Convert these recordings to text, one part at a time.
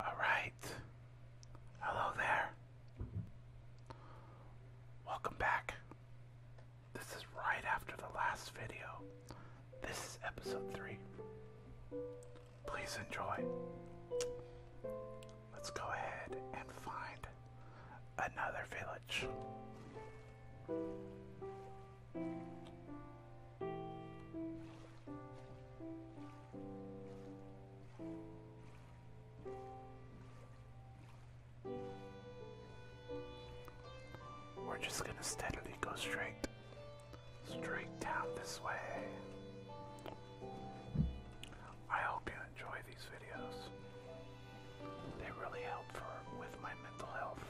Alright. Hello there. Welcome back. This is right after the last video. This is episode 3. Please enjoy. Let's go ahead and find another village. We're just going to steadily go straight, straight down this way. I hope you enjoy these videos. They really help for with my mental health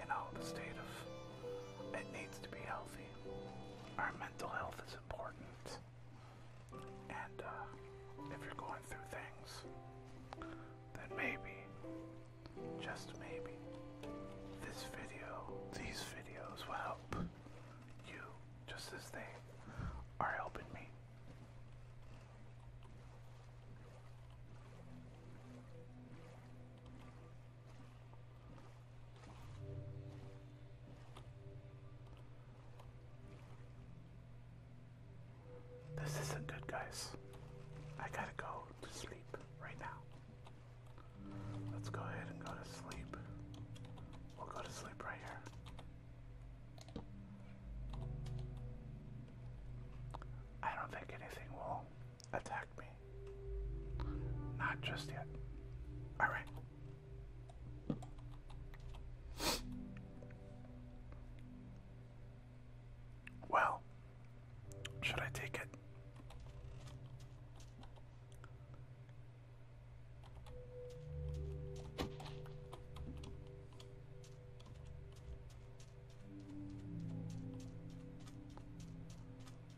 you know, the state of it needs to be healthy. Our mental health is important. And uh, if you're going through things, then maybe, just maybe, this video, these videos will help you just as they are helping me. This isn't good, guys. I gotta go to sleep right now. Let's go ahead and go to sleep. We'll go to sleep right here. I don't think anything will attack me. Not just yet. Alright. Well, should I take it?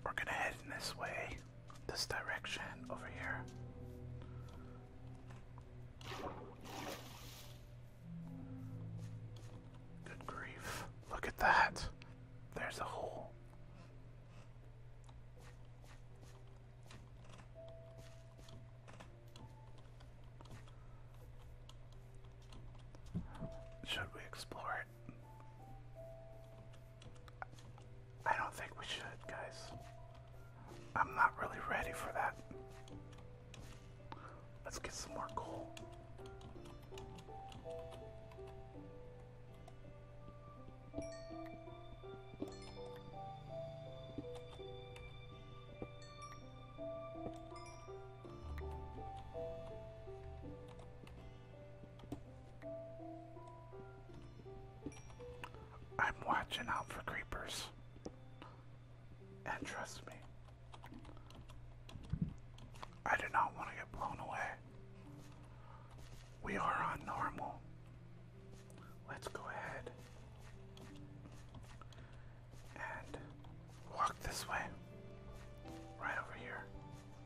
We're gonna head in this way, this direction over here. Good grief. Look at that. There's a hole. Should we explore it? I don't think we should, guys. I'm not really ready for that. Let's get some more coal. I'm watching out for creepers. And trust me, I do not want to get blown away. We are on normal. Let's go ahead and walk this way. Right over here.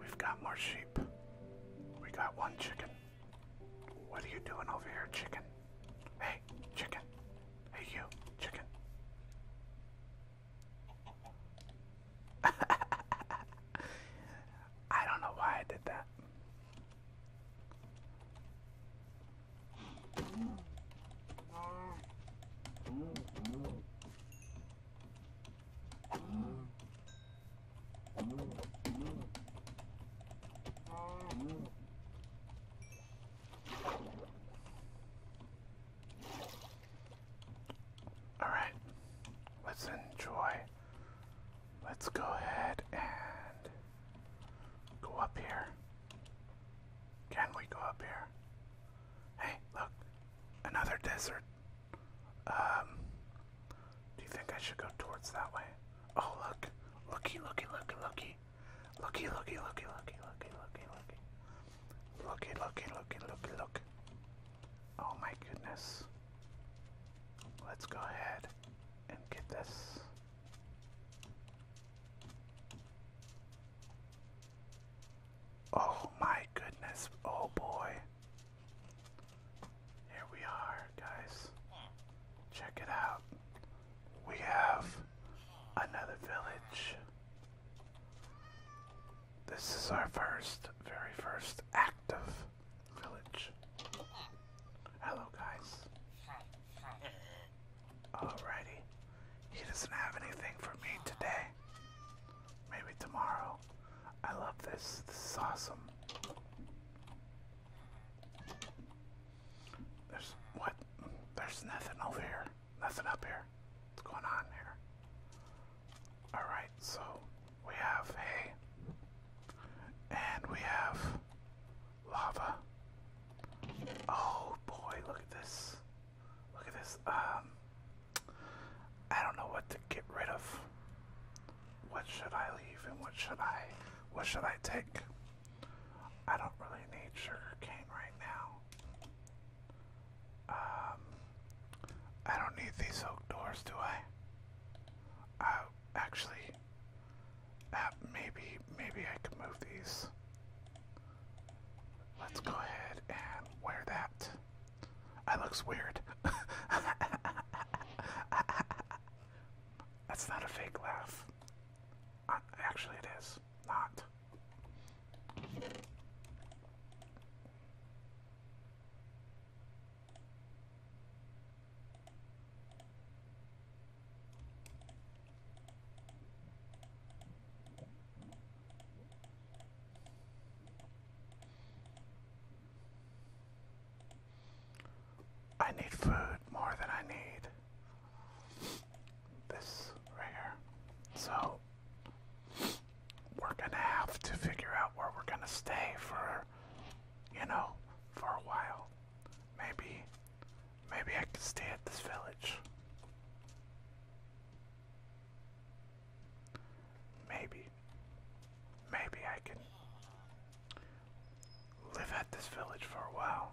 We've got more sheep. We got one chicken. What are you doing over here, chicken? Hey, chicken. Hey, you, chicken. I don't know why I did that. All right, let's enjoy. Let's go ahead and go up here. Can we go up here? Hey, look, another desert. Um, do you think I should go towards that way? Oh, look, looky, looky, looky, looky, looky, looky, looky, looky, looky, looky, looky, looky, looky, looky, looky, look. Oh my goodness. Let's go ahead and get this. Oh my goodness. Oh boy. Here we are, guys. Check it out. We have another village. This is our first, very first active village. Hello, guys. Alrighty. He doesn't have anything for me today. Maybe tomorrow. I love this. This is awesome. There's what? There's nothing over here. Nothing up here. What's going on here? Alright, so we have hay. And we have lava. Oh boy, look at this. Look at this. Um, I don't know what to get rid of. What should I leave and what should I what should I take? I don't really need sugar cane right now. Um, I don't need these oak doors, do I? Uh, actually, uh, maybe, maybe I could move these. Let's go ahead and wear that. That looks weird. That's not a fake laugh. Uh, actually, it is not. I need food more than I need this right here. So we're gonna have to figure out where we're gonna stay for you know, for a while. Maybe maybe I could stay at this village. Maybe. Maybe I can live at this village for a while.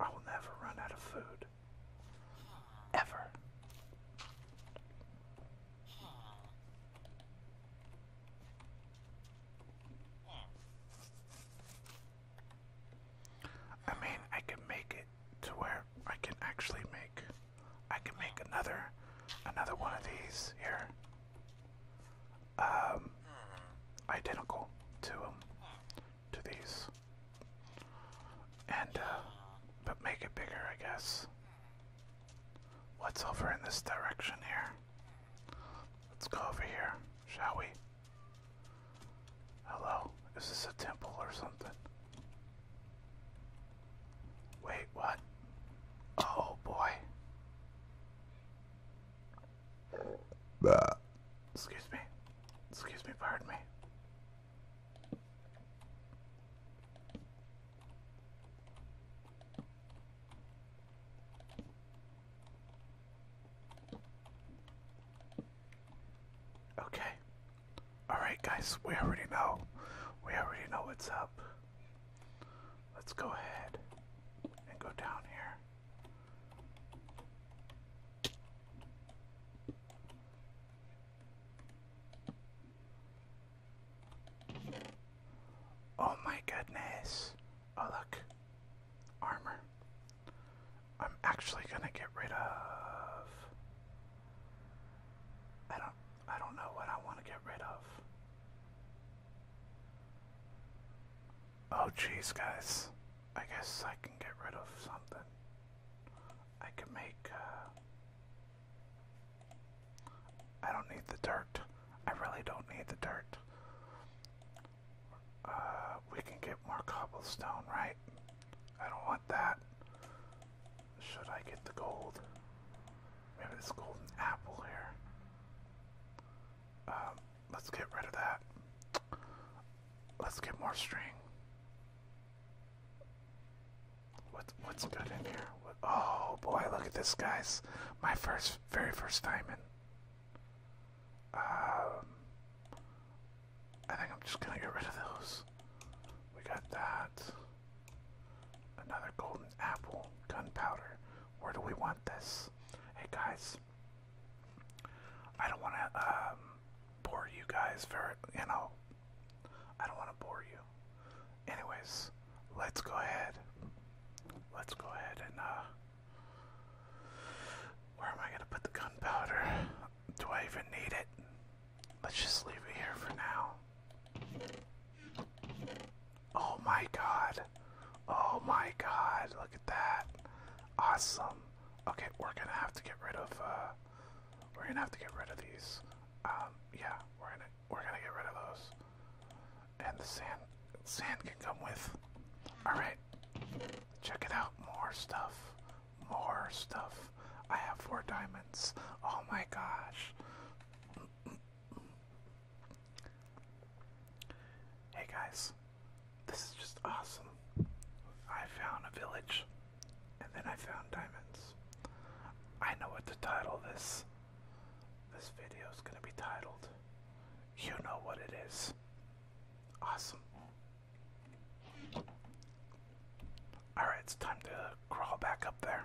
I will never run out of food. Ever. I mean, I can make it to where I can actually make. I can make another, another one of these here. Um, identical to to these, and uh, but make it bigger, I guess. What's over in this direction here? Let's go over here, shall we? Hello? Is this a temple or something? Wait, what? Oh boy. Bah. Excuse me. Excuse me, pardon me. Okay. Alright, guys, we already know. We already know what's up. Let's go ahead and go down here. Oh my goodness. Oh, look. Armor. I'm actually gonna get rid of. I don't. I don't know what I want to get rid of. Oh jeez, guys. I guess I can get rid of something. I can make. Uh, I don't need the dirt. I really don't need the dirt. Uh, we can get more cobblestone, right? I don't want that. Should I get the gold? Maybe this golden apple here. Um, let's get rid of that. Let's get more string. What, what's good in here? oh boy, look at this, guys. My first, very first diamond. Um, I think I'm just gonna get rid of those. We got that. Another golden apple, gunpowder. Where do we want this? Hey guys, I don't want to um, bore you guys very, you know, I don't want to bore you. Anyways, let's go ahead. Let's go ahead and, uh, where am I going to put the gunpowder? do I even need it? Let's just leave it here for now. Oh my god. Oh my god. Look at that. Awesome. Okay, we're gonna have to get rid of uh we're gonna have to get rid of these. Um, yeah, we're gonna we're gonna get rid of those. And the sand sand can come with. Alright. Check it out, more stuff more stuff. I have four diamonds. Oh my gosh. Hey guys, this is just awesome. I found a village and then I found diamonds. I know what to title this. This video is going to be titled. You know what it is. Awesome. Alright, it's time to crawl back up there.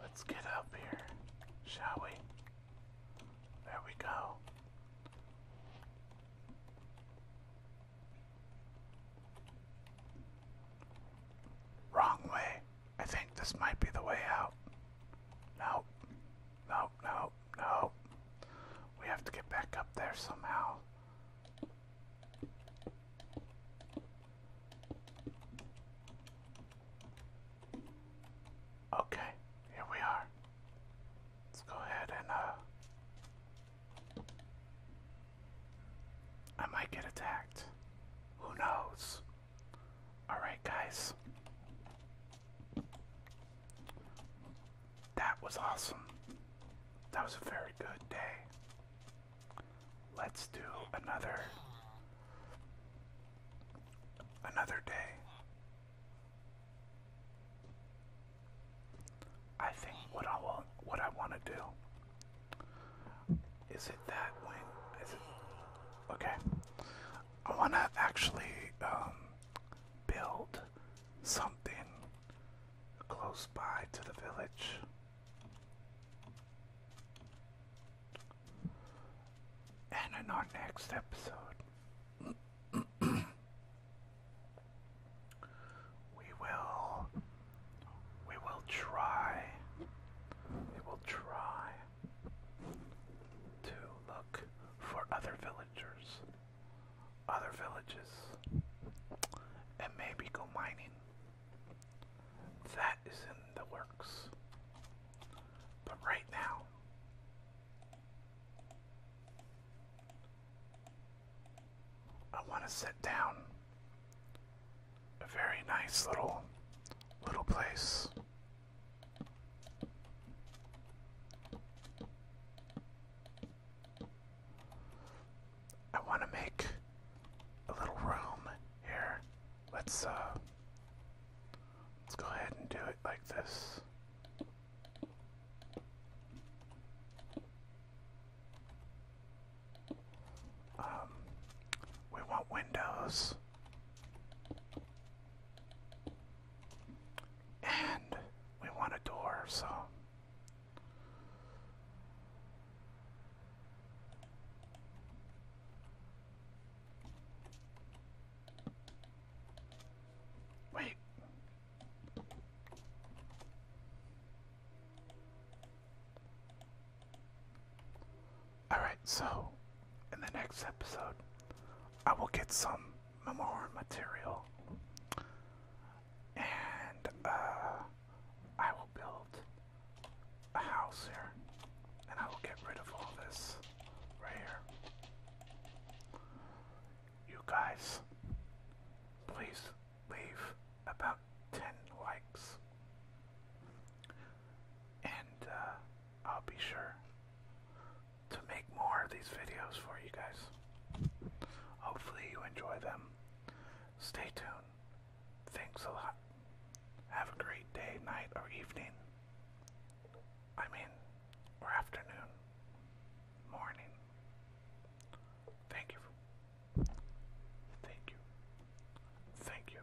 Let's get up here, shall we? There we go. Wrong way. I think this might be the way out. Nope. Nope, nope no. We have to get back up there somehow. Okay, here we are. Let's go ahead and, uh. I might get attacked. Who knows? Alright, guys. That was awesome. That was a very good day. Let's do another another day. I think what I want what I want to do is it that wing okay I want to actually um, build something close by to the village. And in our next episode, we will we will try. We will try to look for other villagers, other villages, and maybe go mining. That is in the works. But right now, I want to sit down a very nice little little place I want to make a little room here. Let's uh let's go ahead and do it like this. Um we want windows. And we want a door, so. Wait. Alright, so in the next episode, I will get some memoir material and uh, I will build a house here and I will get rid of all this right here. You guys, please leave about 10 likes and uh, I'll be sure to make more of these videos for you guys. Hopefully you enjoy them. Stay tuned. Thanks a lot. Have a great day, night, or evening. I mean, or afternoon, morning. Thank you. For, thank you. Thank you.